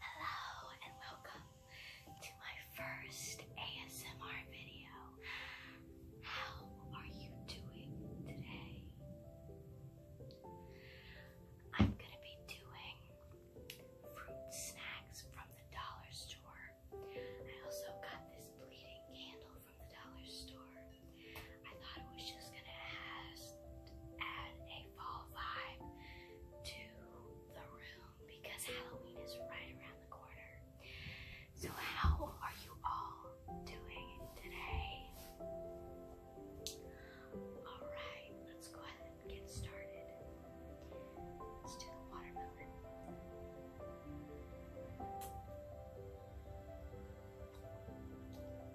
Hello and welcome to my first ASMR video. How are you doing today? I'm gonna be doing fruit snacks from the dollar store. I also got this bleeding candle from the dollar store. I thought it was just gonna add, a fall vibe to the room because Halloween is right around the corner. So, how are you all doing today? Alright, let's go ahead and get started. Let's do the watermelon.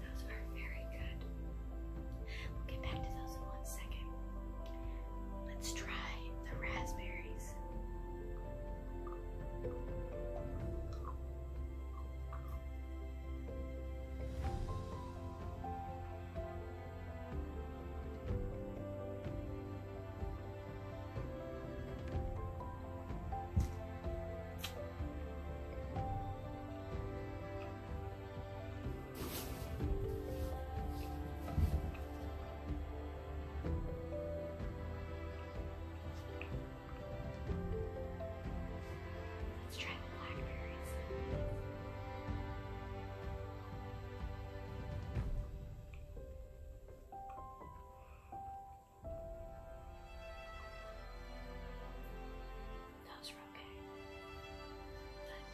Those are very good. We'll get back to those in one second. Let's try the raspberries. Let's try the blackberries. Those were okay. But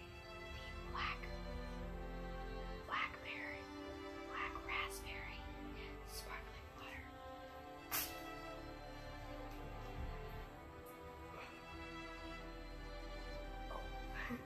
the black blackberry, black raspberry, sparkling water. Oh.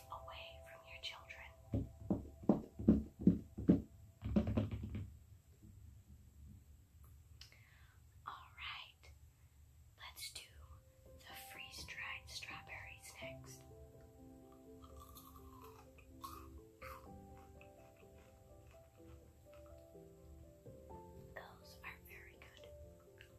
from your children. Alright, let's do the freeze dried strawberries next. Those are very good.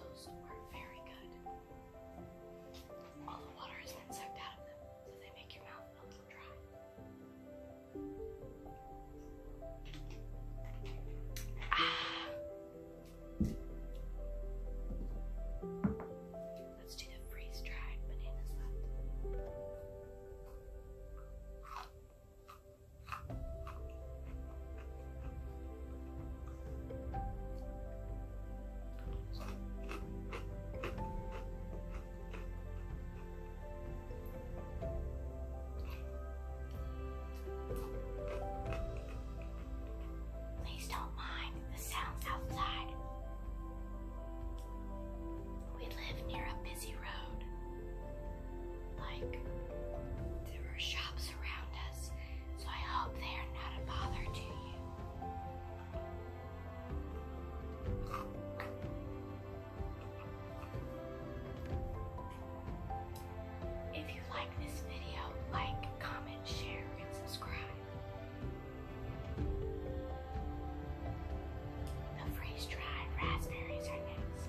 Those are very good. All the water is an insect out of them, so they make your mouth a dry. Ah. Let's do the freeze dried bananas Please don't mind the sounds outside. We live near a busy road. Like, there are shops around us, so I hope they are not a bother to you. If you like this video, like, comment, share, and subscribe. The freeze-dried raspberries are next.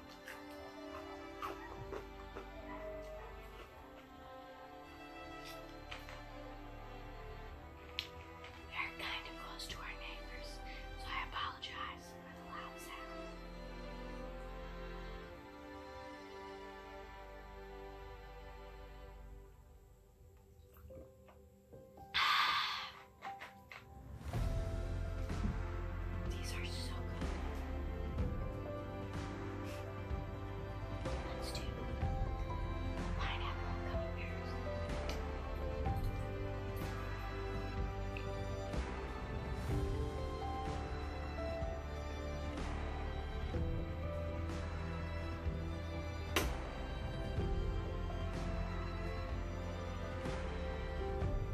We are kind of close to our neighbors, so I apologize for the loud sound. Ah, these are so good. Let's do pineapple gummy bears.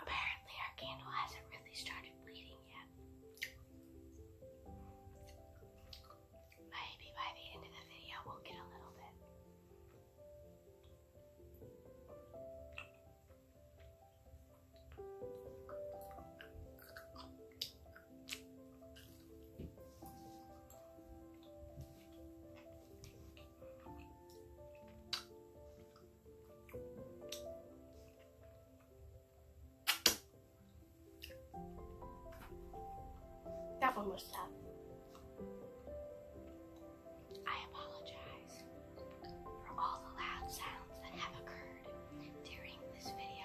Apparently, our candle hasn't really started bleeding yet. Maybe by the end of the video, we'll get a little bit. That one was tough. I apologize for all the loud sounds that have occurred during this video.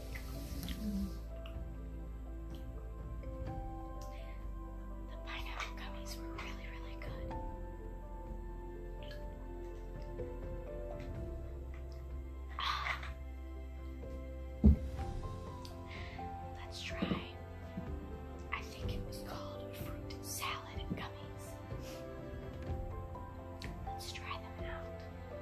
The pineapple gummies were really, really good. Ah. Let's try. I think it was called fruit salad gummies. Let's try them out.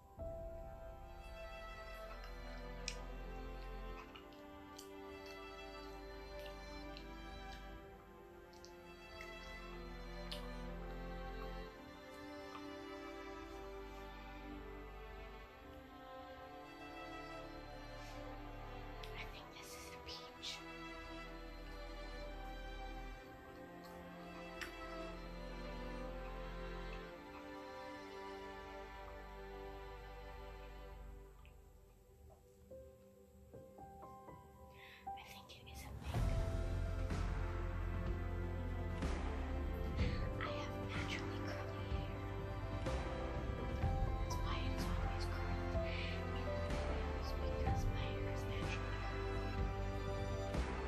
I think this is a peach. I think it is a pink. I have naturally curly hair. That's why it is always curled in the videos because my hair is naturally curly.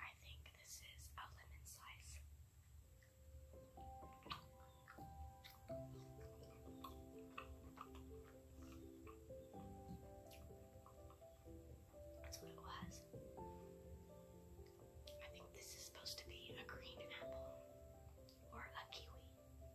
I think this is a lemon slice. That's what it was. I think this is supposed to be a green apple or a kiwi.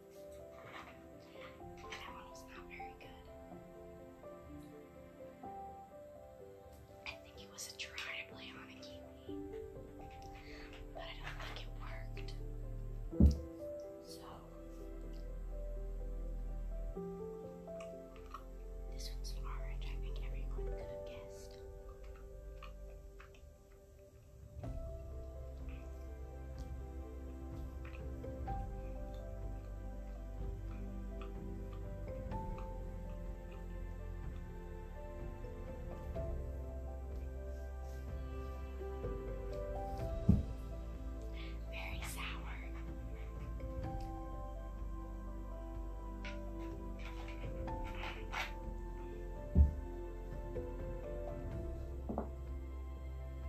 And that one was not very good. I think it was a to play on a kiwi, but I don't think it worked. So, this one's orange. I think everyone could have guessed. Very sour.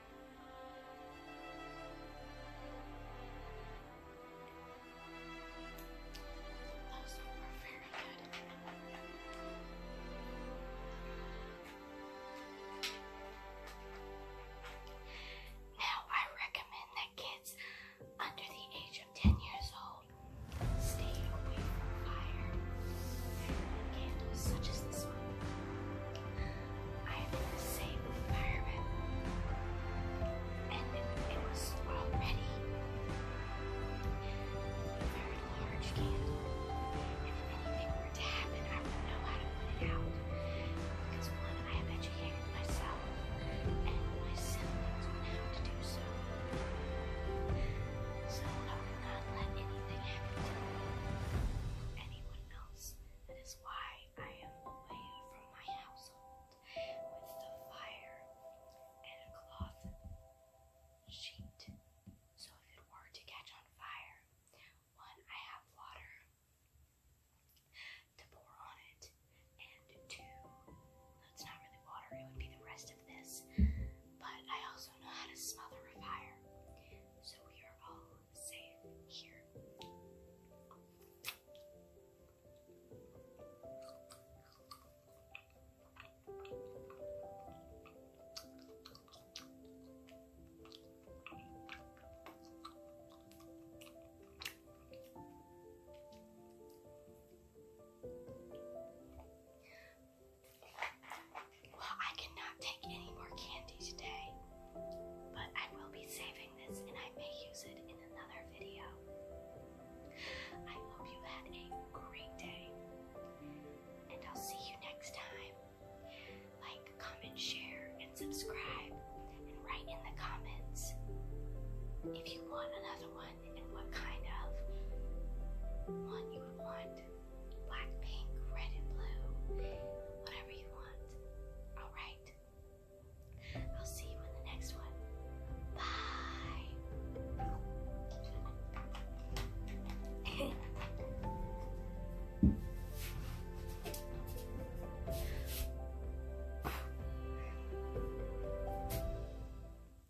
Those were very good. Now, I recommend that kids under the age of 10 years old stay away from fire and candles such as this one. I am in the same environment, and it, was already a very large candle. if anything were to happen, I would know how to put it out. Because one, I have educated myself, and my siblings would have to do so. So I will not let anyone anyone else. That is why I am away from my household with the fire and a cloth sheet. So if it were to catch on fire, one, I have water to pour on it, and two, that's not really water, it would be the rest of but I also know how to smother a fire. So we are all safe here. Well, I cannot take any more candy today, but I will be saving this and I may use it in another video. I hope you had a great day, and I'll see you next time. Like, comment, share, and subscribe, and write in the comments if you want another one and what kind of one you would want. Black, pink, red, and blue. Whatever you want. Alright. I'll see you in the next one. Bye.